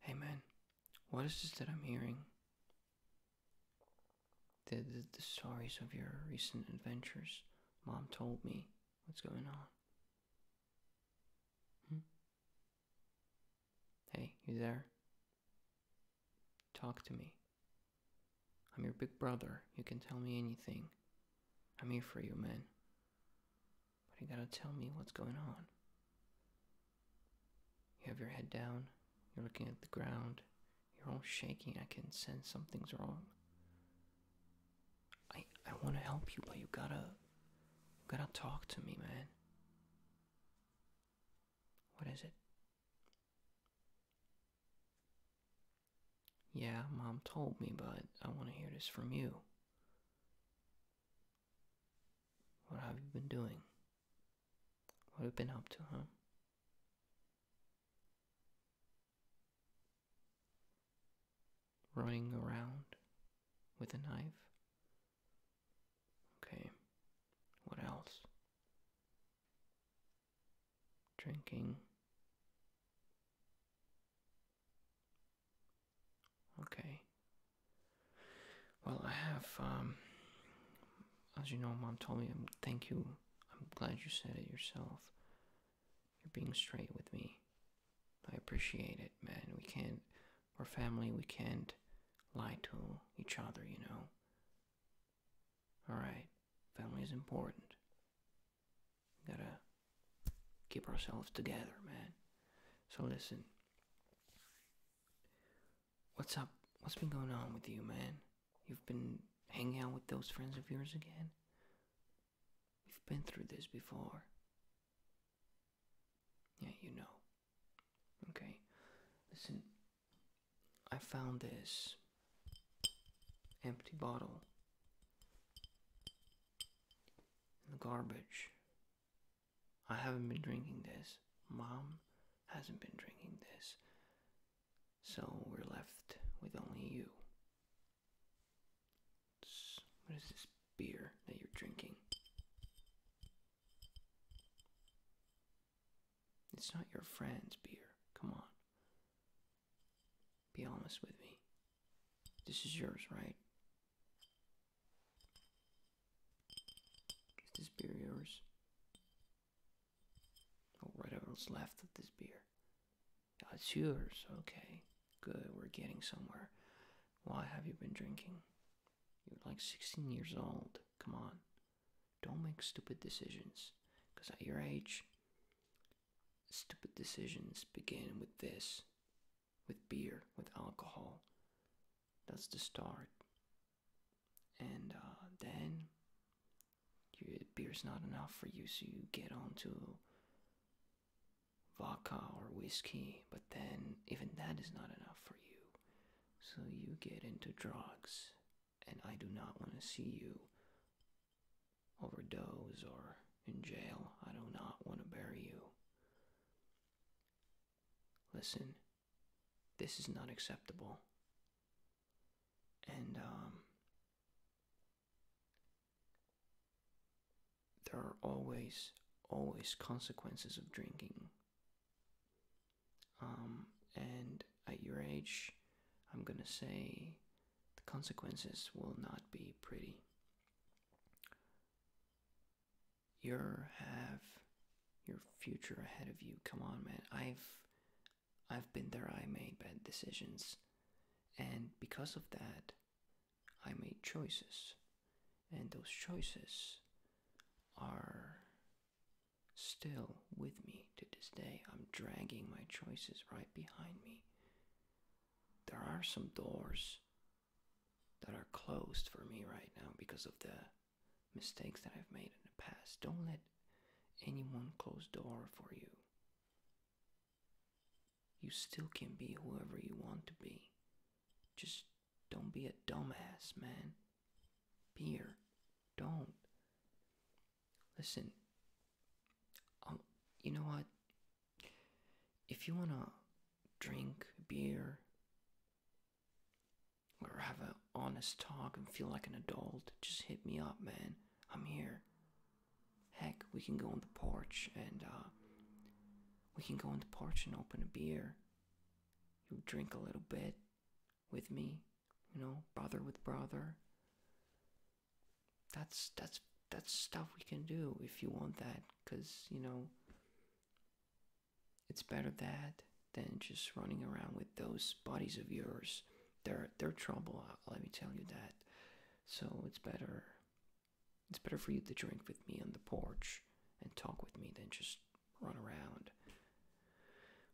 Hey man, what is this that I'm hearing? The, stories of your recent adventures. Mom told me what's going on. Hmm? Hey, you there? Talk to me. I'm your big brother. You can tell me anything. I'm here for you, man. But you gotta tell me what's going on. You have your head down, you're looking at the ground, you're all shaking, I can sense something's wrong. I I wanna help you, but you gotta gotta talk to me, man. What is it? Yeah, mom told me, but I want to hear this from you. What have you been doing? What have you been up to, huh? Running around with a knife? Okay, what else? Drinking. Okay. Well, I have, um, as you know, Mom told me, um, thank you. I'm glad you said it yourself. You're being straight with me. I appreciate it, man. We can't, we're family, we can't lie to each other, you know. Alright, family is important. We gotta keep ourselves together, man. So listen. What's up? What's been going on with you, man? You've been hanging out with those friends of yours again? We've been through this before. Yeah, you know. Okay, listen. I found this empty bottle in the garbage. I haven't been drinking this. Mom hasn't been drinking this. So we're left with only you. what is this beer that you're drinking? It's not your friend's beer. Come on. Be honest with me. This is yours, right? Is this beer yours? Or oh, whatever's left of this beer. it's yours, okay. Good, we're getting somewhere. Why have you been drinking? You're like 16 years old. Come on. Don't make stupid decisions. Because at your age, stupid decisions begin with this with beer, with alcohol. That's the start. And uh, then beer's not enough for you, so you get onto vodka or whiskey, but then even that is not enough for you. So you get into drugs, and I do not want to see you overdose or in jail. I do not want to bury you. Listen, this is not acceptable. And, um, there are always, always consequences of drinking. Um, and at your age, I'm gonna say the consequences will not be pretty you have your future ahead of you. Come on, man. I've I've been there. I made bad decisions, and because of that, I made choices, and those choices are still with me to this day. I'm dragging my choices right behind me. There are some doors that are closed for me right now because of the mistakes that I've made in the past. Don't let anyone close door for you. You still can be whoever you want to be. Just don't be a dumbass, man. Beer. Don't. Listen. Um, you know what? if you want to drink beer or have an honest talk and feel like an adult, just hit me up, man. I'm here. Heck, we can go on the porch and, uh, we can go on the porch and open a beer. You drink a little bit with me, you know, brother with brother. That's that's that's stuff we can do if you want that, because you know it's better that than just running around with those bodies of yours. They're they're trouble. Uh, let me tell you that. So it's better. It's better for you to drink with me on the porch and talk with me than just run around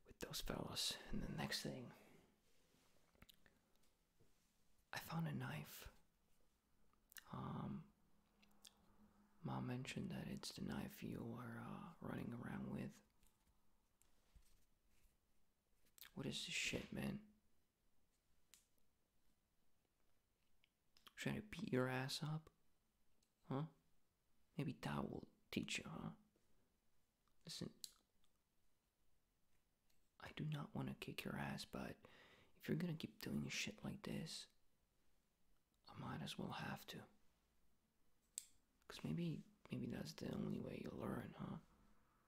with those fellas. And the next thing, I found a knife um, Mom mentioned that it's the knife you are uh, running around with. What is this shit, man? Trying to beat your ass up? Huh? Maybe that will teach you, huh? Listen, I do not want to kick your ass, but if you're gonna keep doing shit like this, I might as well have to. Cause maybe, maybe that's the only way you learn, huh?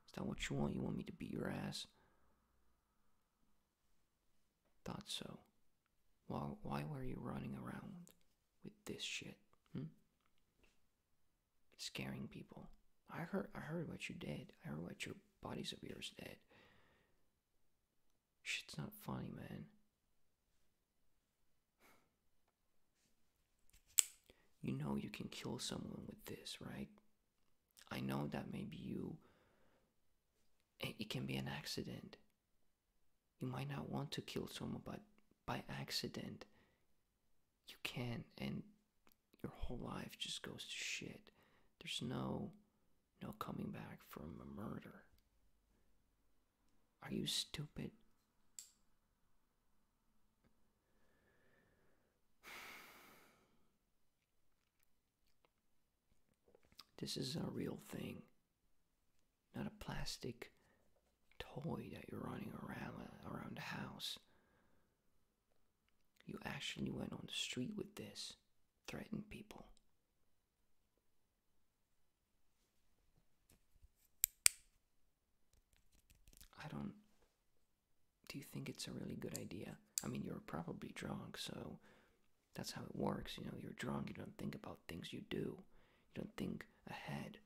Is that what you want? You want me to beat your ass? Thought so. Why, why were you running around with this shit? Hmm? Scaring people. I heard, I heard what you did. I heard what you bodies of yours dead. Shit's not funny, man. You know you can kill someone with this, right? I know that maybe you. It can be an accident. You might not want to kill someone, but by accident, you can and your whole life just goes to shit there's no no coming back from a murder are you stupid this is a real thing not a plastic toy that you're running around around the house you actually went on the street with this, threatened people. I don't. Do you think it's a really good idea? I mean, you're probably drunk, so that's how it works. You know, you're drunk, you don't think about things you do, you don't think ahead.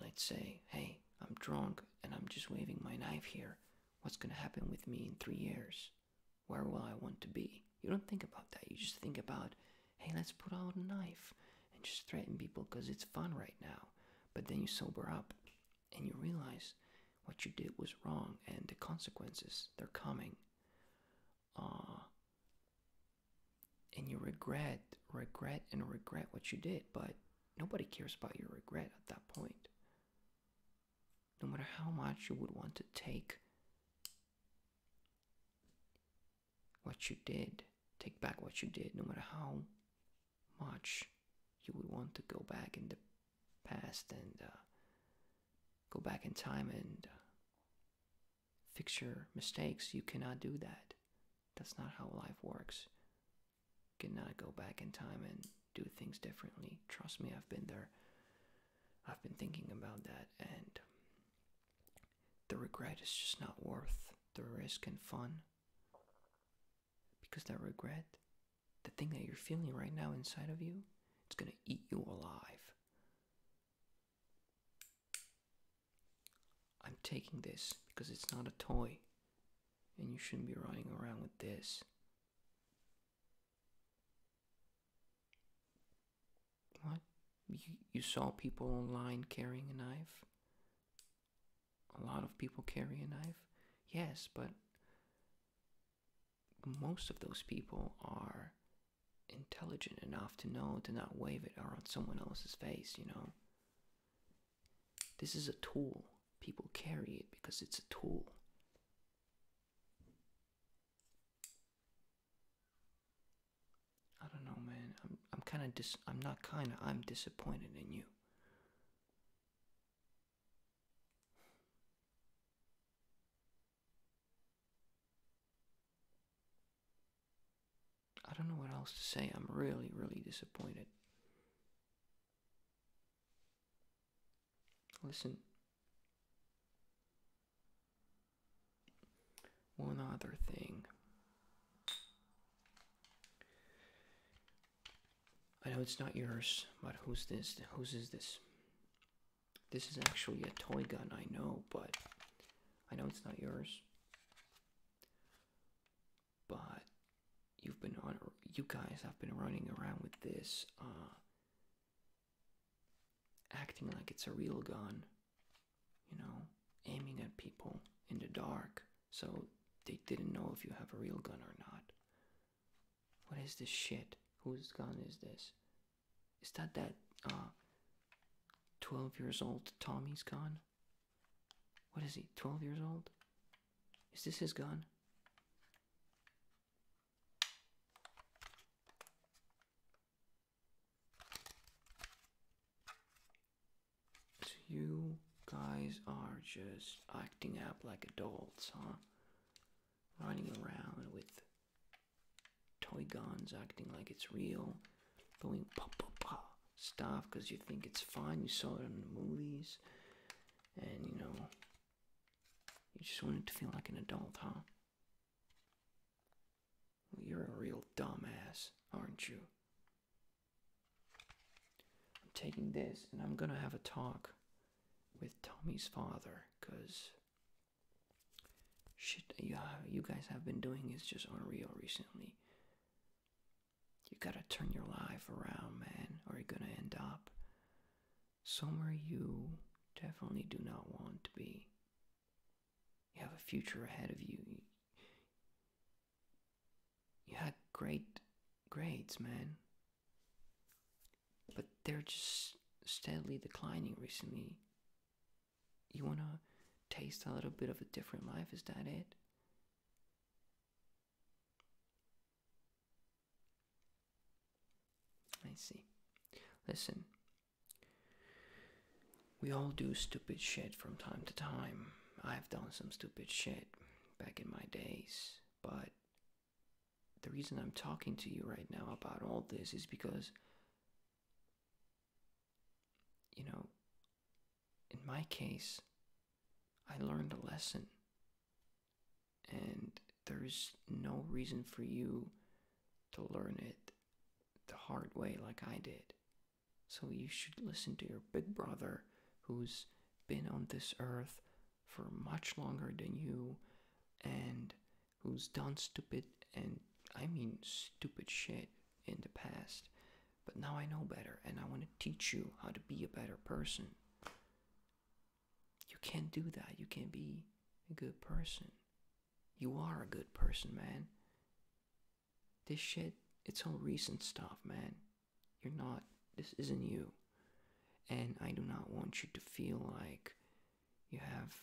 Let's say, hey, I'm drunk, and I'm just waving my knife here, what's going to happen with me in three years? Where will I want to be? You don't think about that. You just think about, hey, let's put out a knife and just threaten people because it's fun right now. But then you sober up and you realize what you did was wrong and the consequences, they're coming. Uh, and you regret, regret, and regret what you did. But Nobody cares about your regret at that point. No matter how much you would want to take what you did, take back what you did, no matter how much you would want to go back in the past and uh, go back in time and uh, fix your mistakes, you cannot do that. That's not how life works. Cannot go back in time and do things differently? Trust me, I've been there. I've been thinking about that, and the regret is just not worth the risk and fun. Because that regret, the thing that you're feeling right now inside of you, it's gonna eat you alive. I'm taking this because it's not a toy, and you shouldn't be running around with this. What? You, you saw people online carrying a knife? A lot of people carry a knife? Yes, but most of those people are intelligent enough to know to not wave it around someone else's face, you know? This is a tool. People carry it because it's a tool. I don't know, man. I'm I'm kind of dis I'm not kind of I'm disappointed in you. I don't know what else to say. I'm really, really disappointed. Listen. One other thing. I know it's not yours, but who's this? Who's is this? This is actually a toy gun, I know, but I know it's not yours but you've been on you guys have been running around with this uh, acting like it's a real gun you know aiming at people in the dark so they didn't know if you have a real gun or not what is this shit whose gun is this is that that uh, 12 years old tommy's gun what is he, 12 years old? Is this his gun? So you guys are just acting up like adults, huh? Running around with toy guns, acting like it's real doing blah, blah, blah stuff because you think it's fun. You saw it in the movies, and you know, you just wanted to feel like an adult, huh? you're a real dumbass, aren't you? I'm taking this and I'm gonna have a talk with Tommy's father because shit, yeah, you guys have been doing is just unreal recently. You gotta turn your life around, man, or you're gonna end up somewhere you definitely do not want to be. You have a future ahead of you. You had great grades, man. But they're just steadily declining recently. You wanna taste a little bit of a different life, is that it? I see. Listen, we all do stupid shit from time to time. I've done some stupid shit back in my days, but the reason I'm talking to you right now about all this is because, you know, in my case, I learned a lesson. And there's no reason for you to learn it the hard way like I did. So you should listen to your big brother who's been on this earth for much longer than you and who's done stupid and I mean stupid shit in the past but now I know better and I want to teach you how to be a better person. You can't do that. You can't be a good person. You are a good person, man. This shit, it's all recent stuff, man. You're not, this isn't you. And I do not want you to feel like you have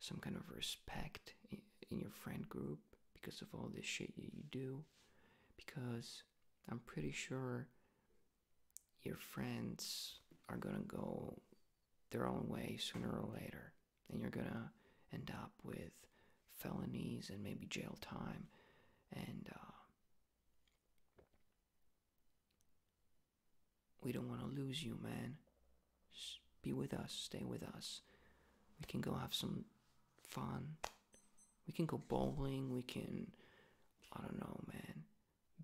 some kind of respect in your friend group because of all this shit that you do because i'm pretty sure your friends are gonna go their own way sooner or later and you're gonna end up with felonies and maybe jail time and uh, we don't want to lose you man just be with us, stay with us. We can go have some fun. We can go bowling. We can, I don't know, man,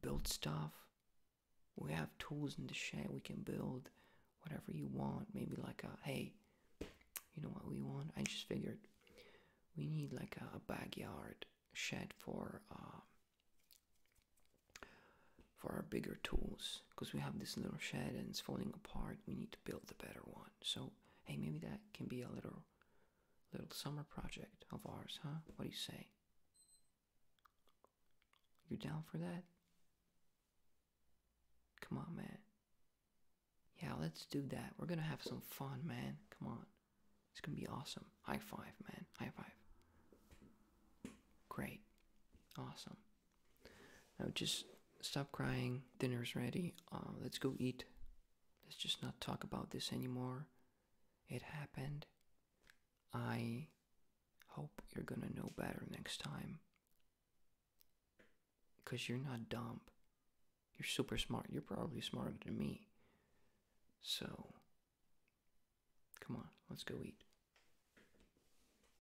build stuff. We have tools in the shed. We can build whatever you want. Maybe like a, hey, you know what we want? I just figured we need like a, backyard shed for, uh, for our bigger tools because we have this little shed and it's falling apart. We need to build a better one. So hey, maybe that can be a little little summer project of ours, huh? What do you say? You down for that? Come on, man. Yeah, let's do that. We're gonna have some fun, man. Come on. It's gonna be awesome. High five, man. High five. Great. Awesome. I would just stop crying. Dinner's ready. Uh, let's go eat. Let's just not talk about this anymore. It happened. I hope you're gonna know better next time. Because you're not dumb. You're super smart. You're probably smarter than me. So, come on, let's go eat.